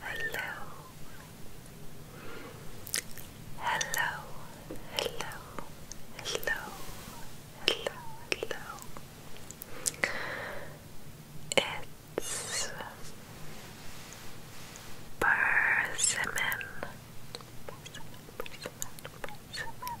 Hello. Hello. Hello. Hello. Hello. Hello. It's persimmon. Persimmon, persimmon, persimmon.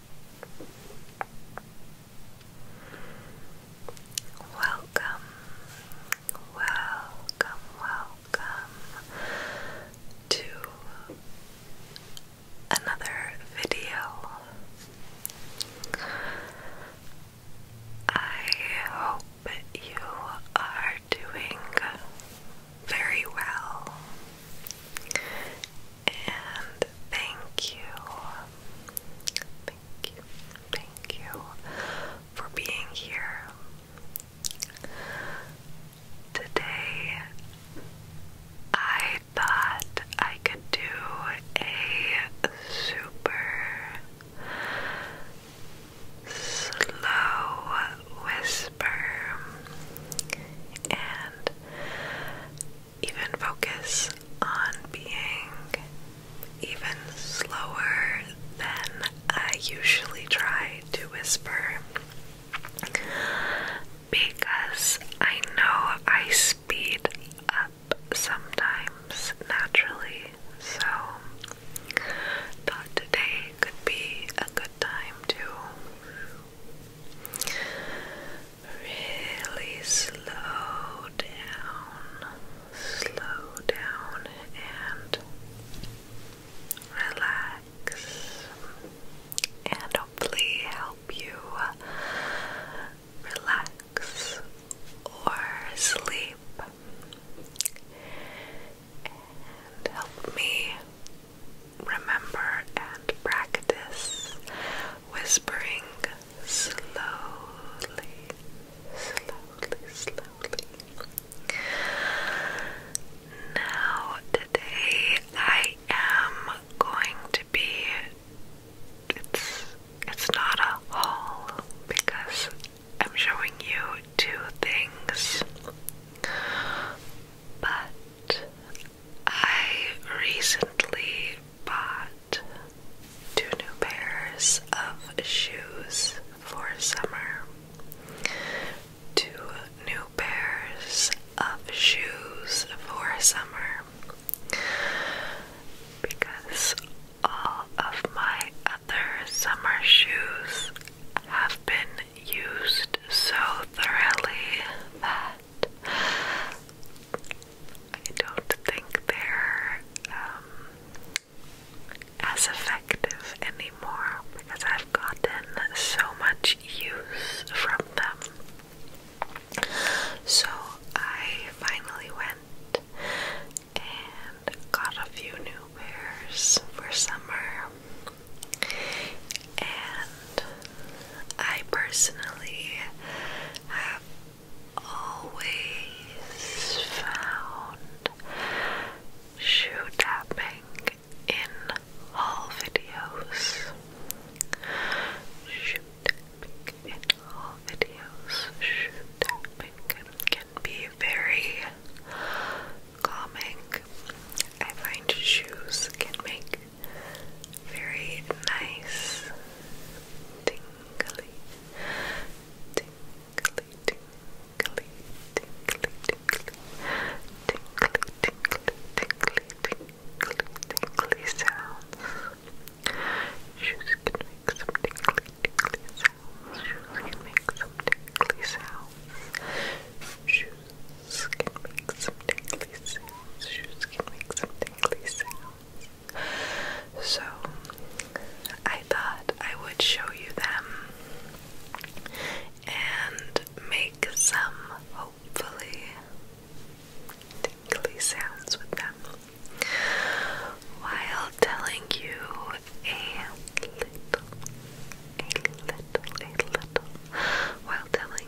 Welcome, welcome, welcome to another video. I hope you are doing very well. And thank you, thank you, thank you for being here. Today, I thought I could do a super slow whisper and even focus on being even slower than I usually try to whisper because I know I speed up sometimes naturally. So, thought today could be a good time to Really slow down, slow down and relax, and hopefully help you relax or sleep. And help me remember and practice whispering slowly, slowly, slowly. Now, today I am going to be. It's, it's not a haul because I'm showing you two things, but I recently bought two new pairs of shoes for summer. Two new pairs of shoes for summer. Because all of my other summer shoes have been used so thoroughly that I don't think they're um, as effective anymore because I've gotten so much use from them. So I finally went and got a few new pairs for summer. And I personally have always found shoe tapping in all videos. Shoe tapping can be very calming. I find shoes can make very nice, tingly, tingly, tingly, tingly, tingly, tingly, tingly, tingly, tingly, sounds. She's going make some tingly, tingly sounds. She's going make some tingly sounds. Shoes Shoes can make some tingly sounds. Shoes can make some tingly sounds. So, I thought I would show you them and make some hopefully tingly sounds with them while telling you a little, a little, a little, while telling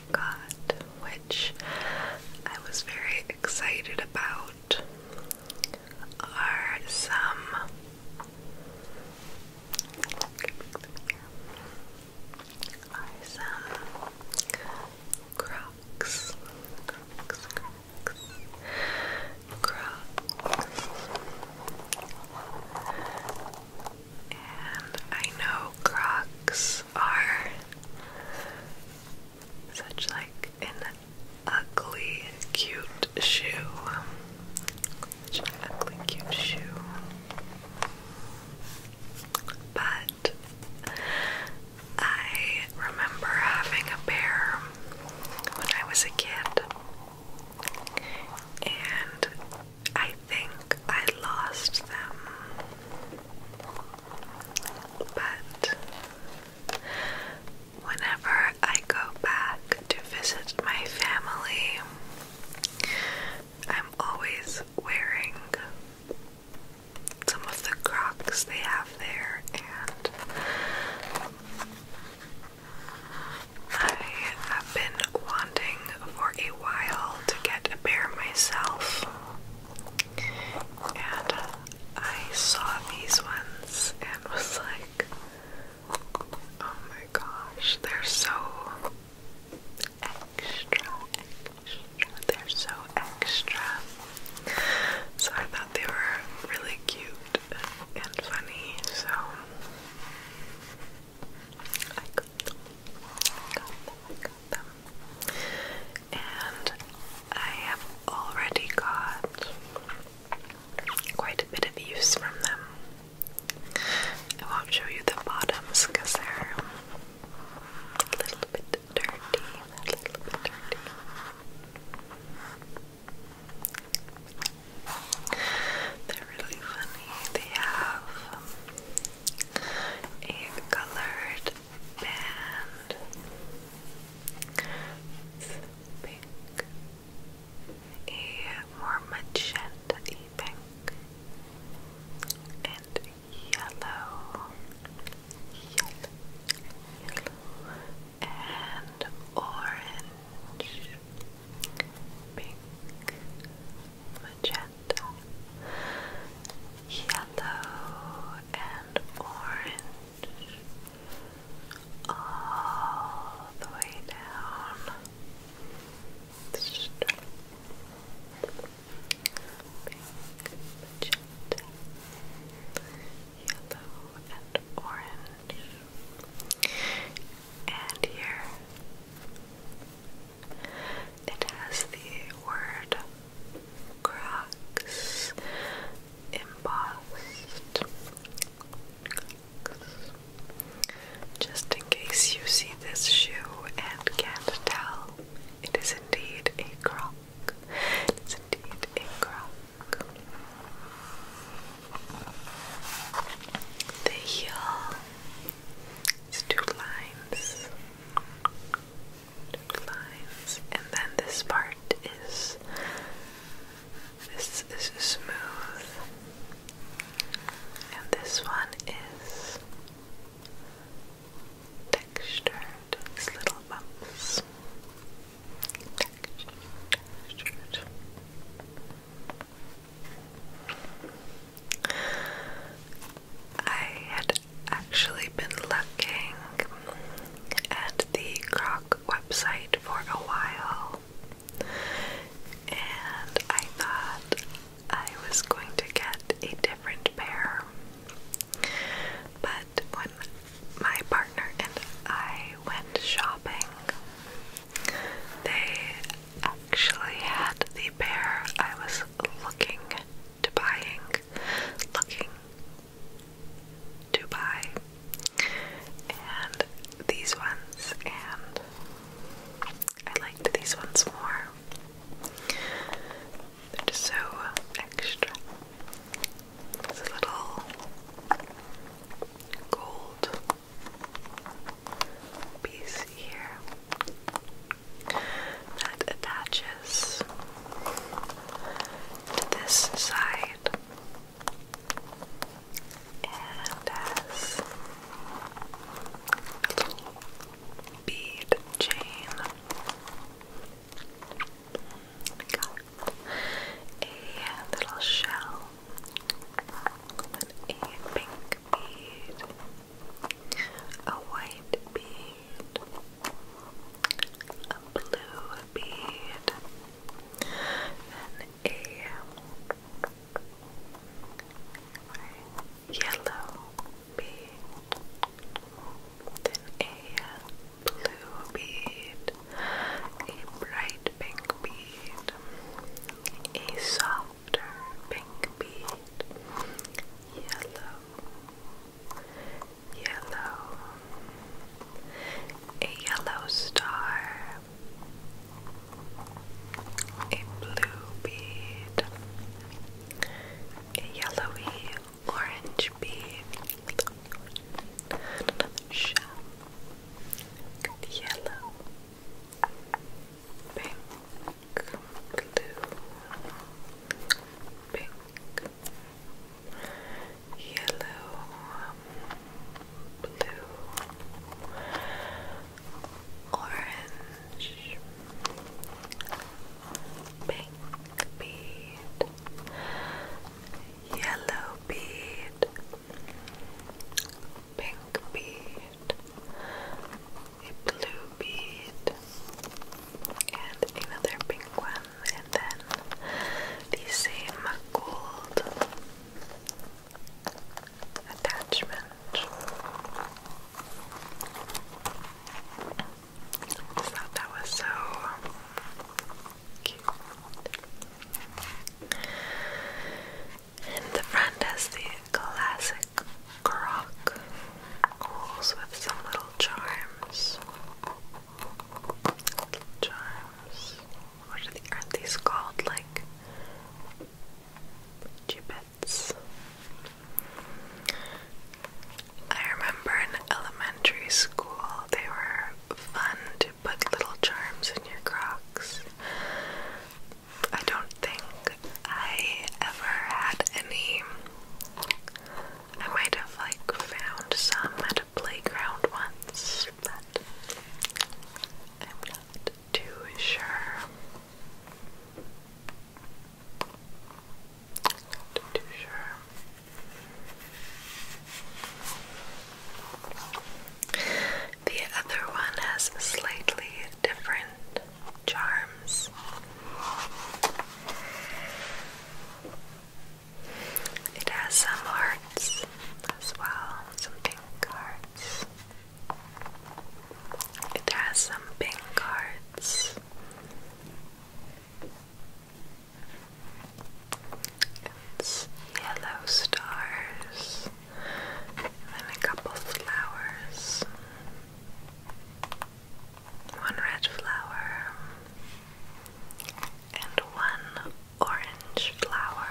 which I was very excited about, are some are some Crocs, Crocs, Crocs, Crocs. And I know crocs are such like an ugly cute shoe. Such an ugly cute shoe. But I remember having a pair when I was a kid and I think I lost them, but whenever I go back to visit my family, I'm always wearing some of the crocs they have there and I have been wanting for a while to get a pair myself and I saw these ones and was like, oh my gosh, they're so extra, They're so extra. So I thought they were really cute and funny, so I got And I have already got quite a bit of use from them. I won't show you the bottoms because they're a little bit dirty, They're really funny. They have um, a colored band. pink, a more magenta pink, and yellow, yellow, yellow, and orange, pink, magenta red, yellow, and orange, all the way down. yellow, and orange. And here it has the word cracks embossed. Just in case you see this shoe and can't tell, it is indeed a croc. It is indeed a croc. The heel it's two lines. Two lines. And then this part is this is smooth. And this one is textured. These little bumps. Textured. textured. I had actually been looking at the Croc website for a while, and I thought I was going to get a different pair. But when my partner and I went shopping, they actually had the pair I was looking to buying, looking to buy, and these ones, and I liked these ones more. They're just so extra. It's a little gold piece here that attaches to this side and has a little bead chain. a little shell with a pink a white bead, a blue bead, and a yellow bead, then a blue bead, a bright pink bead, a soft after pink bead, yellow, yellow, a yellow star, a blue bead, a yellowy orange bead, yellow pink, blue, pink, yellow, blue, orange, pink bead, yellow bead pink bead, a blue bead, and another pink one, and then the same gold attachment. I thought that was so cute. And the front has the classic crock holes with some little charms. What are these called? Like gibbets. I remember in elementary school they were fun to put little charms in your crocs. I don't think I ever had any. I might have like found some at a playground once, but I'm not too sure. Not too sure. The other one has slightly different charms. It has some hearts as well, some pink hearts. It has some pink hearts. It's yellow stars and a couple flowers. One red flower and one orange flower.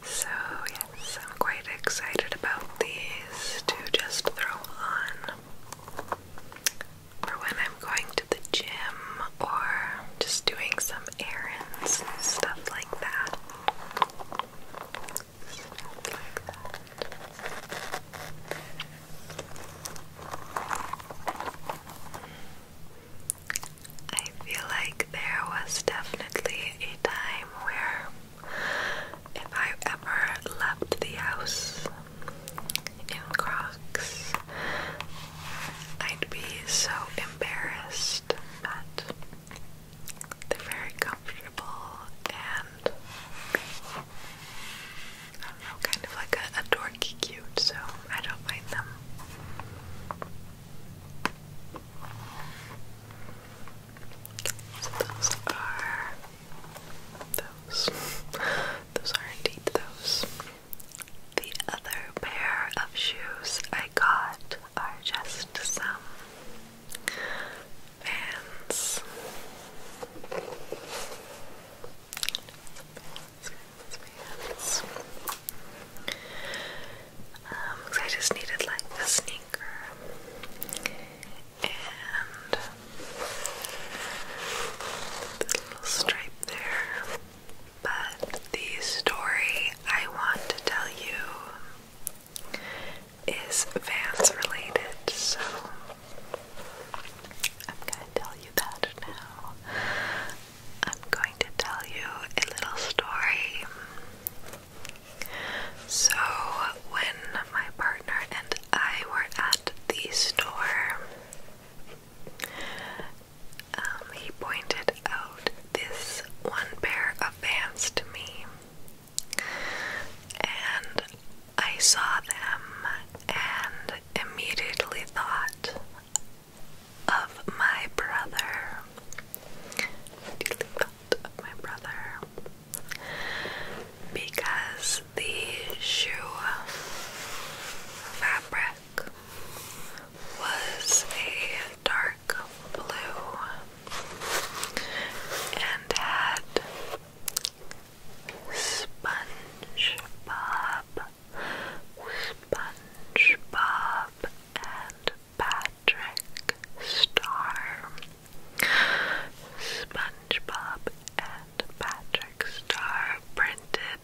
So, yes, I'm quite excited about these to just throw on for when I'm going to the gym or just doing some errands and Stuff like that. I feel like there was definitely a time where if I ever left the house in Crocs, I'd be so embarrassed, but they're very comfortable and I don't know, kind of like a, dorky cute, so I don't mind them. So those are those. Those are indeed those. The other pair of shoes I got are just some Vans. Vans, Um, I just needed like a sneaker and the little stripe there. But the story I want to tell you is Vans related, so I'm gonna tell you that now. I'm going to tell you a little story so, when my partner and I were at the store, um, he pointed out this one pair of pants to me, and I saw them and immediately thought of my brother my brother because the shoe fabric was a dark blue and had SpongeBob, SpongeBob, and Patrick Star. SpongeBob and Patrick Star printed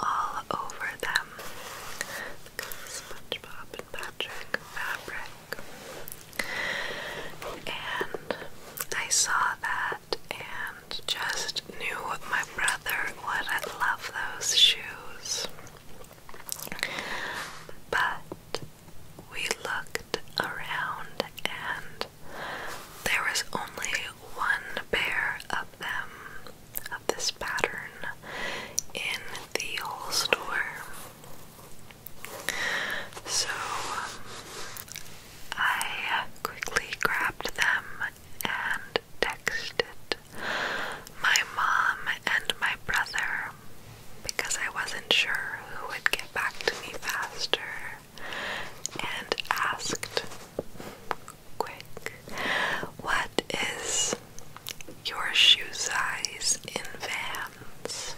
all over them. SpongeBob and Patrick fabric. And I saw that and just knew my brother would love those shoes. But we looked around and there was only one pair of them of this pattern in the whole store. So um, I quickly grabbed them and texted my mom and my brother because I wasn't sure who would get back to me faster and asked quick what is your shoe size in Vans?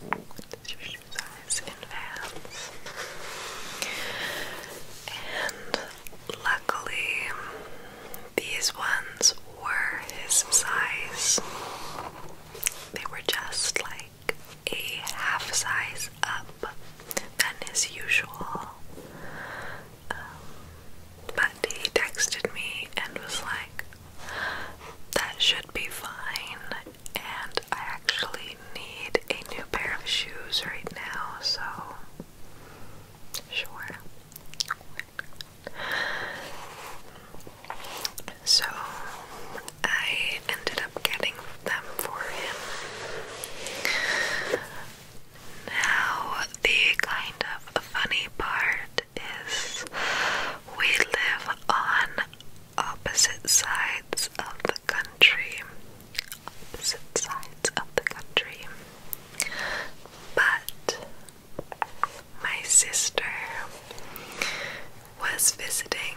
What's your shoe size in Vans? And luckily these ones were his size. They were just like a half size up than his usual. Um, but he texted me and was like, that should be fine. And I actually need a new pair of shoes right now, so Sure. So I ended up getting them for him. Now, the kind of funny part is we live on opposite sides of the country opposite sides of the country. But my sister was visiting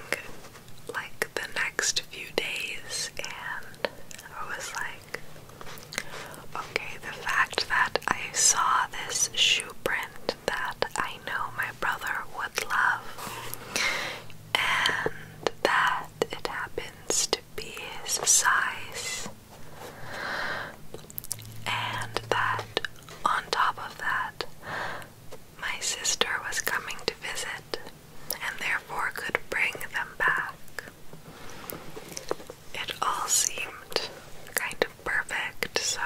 like the next few days, and I was like, okay, the fact that I saw this shoe print that I know my brother would love, and that it happens to be his size, and that on top of that, my sister was coming to visit and therefore could bring them back. It all seemed kind of perfect, so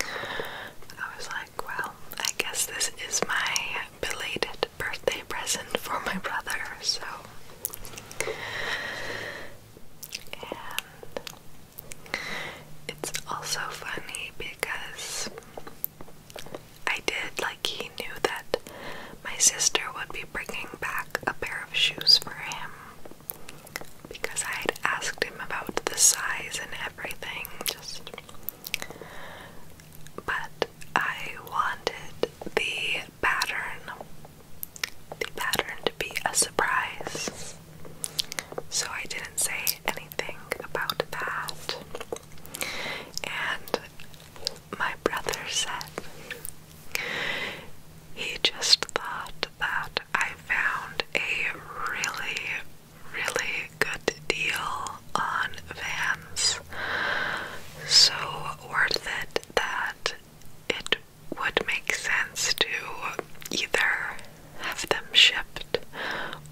I was like, well, I guess this is my belated birthday present for my brother, so. And it's also funny because I did, like, he knew that my sister would be bringing back a pair of shoes for him because I had asked him about the size and everything, just but I wanted the pattern, the pattern to be a surprise. So I didn't say anything about that. And my brother said he just thought that I found a really, really good deal on Vans so worth it that it would make sense to either have them shipped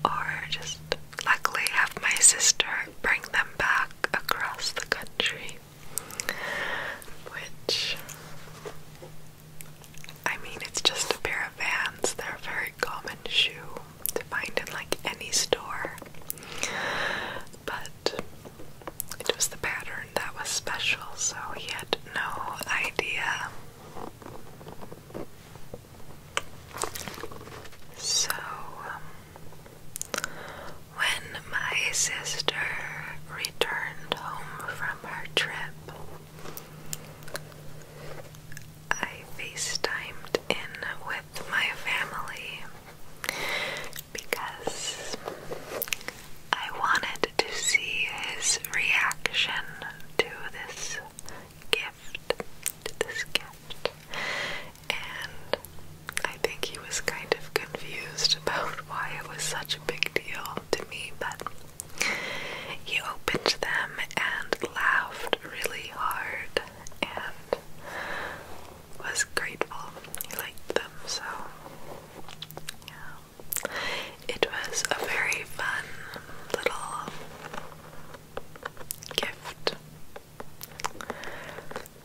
or just luckily have my sister bring them back across the country. Which, I mean, it's just a pair of vans, they're a very common shoe to find in like any store. But it was the pattern that was special, so he had no idea. So, um, when my sister returned home from her trip, I FaceTimed in with my family because I wanted to see his reaction to this gift, to this gift, and I think he was kind of confused about why it was such a big deal to me, but he opened them and laughed really hard, and was grateful. He liked them, so yeah. It was a very fun little gift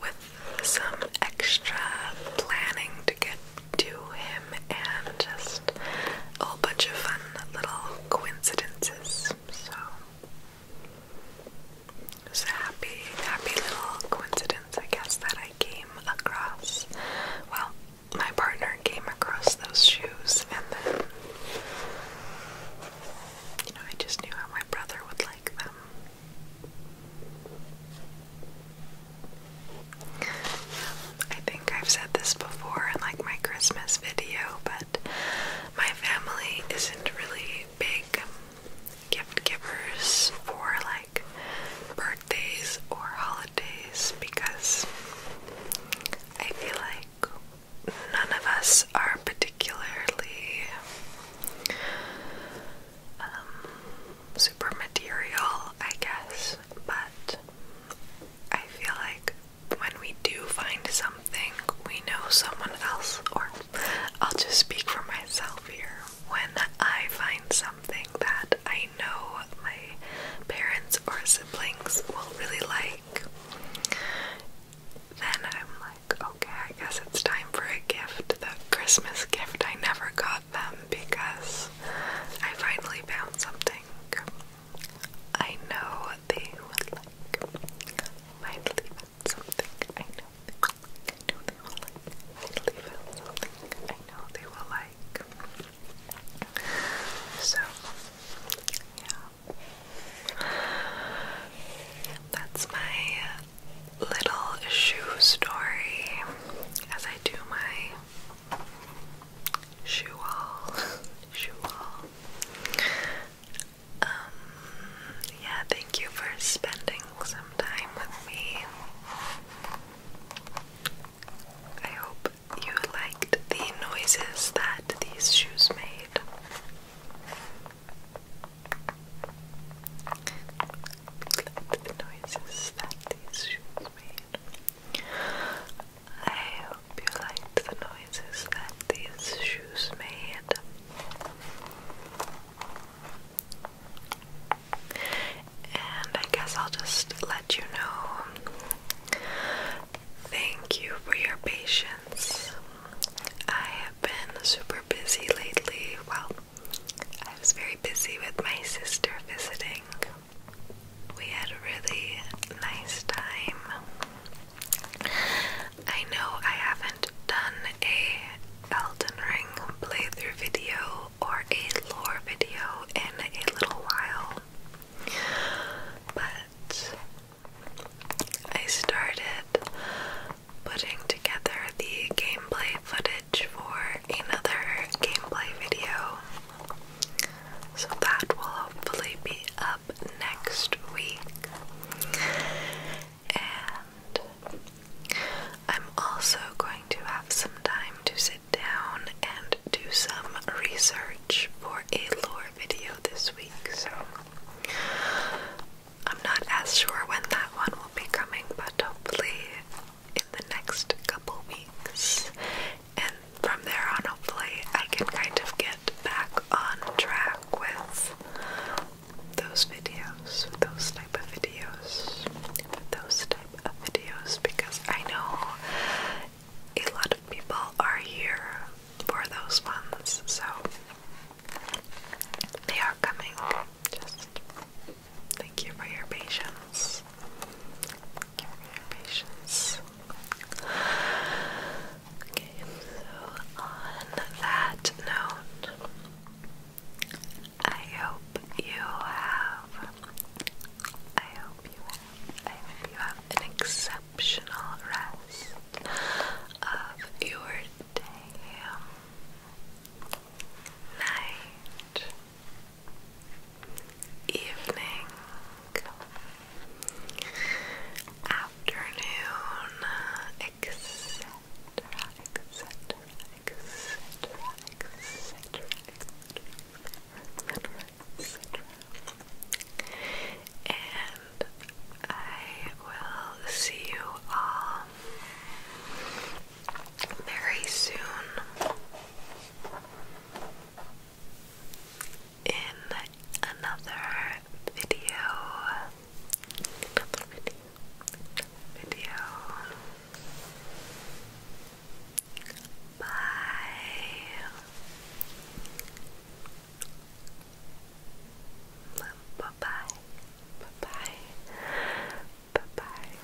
with some extra planning to get to him and just a whole bunch of fun little coincidences. So it was a happy, happy little coincidence, I guess, that I came across. Well, my partner came across those shoes, and then, you know, I just knew how my brother would like them. I think I've said this before in like my Christmas video, but my family isn't really big gift givers for like birthdays or holidays because I feel like none of us are particularly um, super material, I guess, but I feel like when we do find some we know someone else, or I'll just speak for myself here. When I find something that I know my parents or siblings will really like, then I'm like, okay, I guess it's time for a gift. The Christmas gift I never got them because I finally found something I know they would like. Finally something I know they, will like. something I know they will like. So, yeah. That's my little shoe story as I do my shoe haul. shoe haul. Um, yeah, thank you for spending some time with me. I hope you liked the noises that these shoes made. the noises that these shoes made. I hope you liked the noises that these shoes made. And I guess I'll just let you know. Thank you for your patience. I have been super busy lately. Well, I was very busy with my sister visiting. We had a really nice time. I know I haven't done a Elden Ring playthrough video or a lore video in a little while, but I started putting together the gameplay footage for another gameplay video. So that will hopefully be up next week. And I'm also going to have some time to sit down and do some research for a lore video this week. So I'm not as sure when that one will be coming, but hopefully in the next couple weeks. And from there on, hopefully, I can kind of get back on track with those videos, those type of videos, those type of videos, because I know a lot of people are here for those ones, so they are coming. Just thank you for your patience. Thank you for your patience. Okay, so on that note, I hope you have, I hope you have, I hope you have an exceptional rest of your day, night, evening afternoon, etc., etc., etc., etc., etc. And I will see you all very soon in another video. Video. Bye. Bye bye. Bye bye. Bye bye.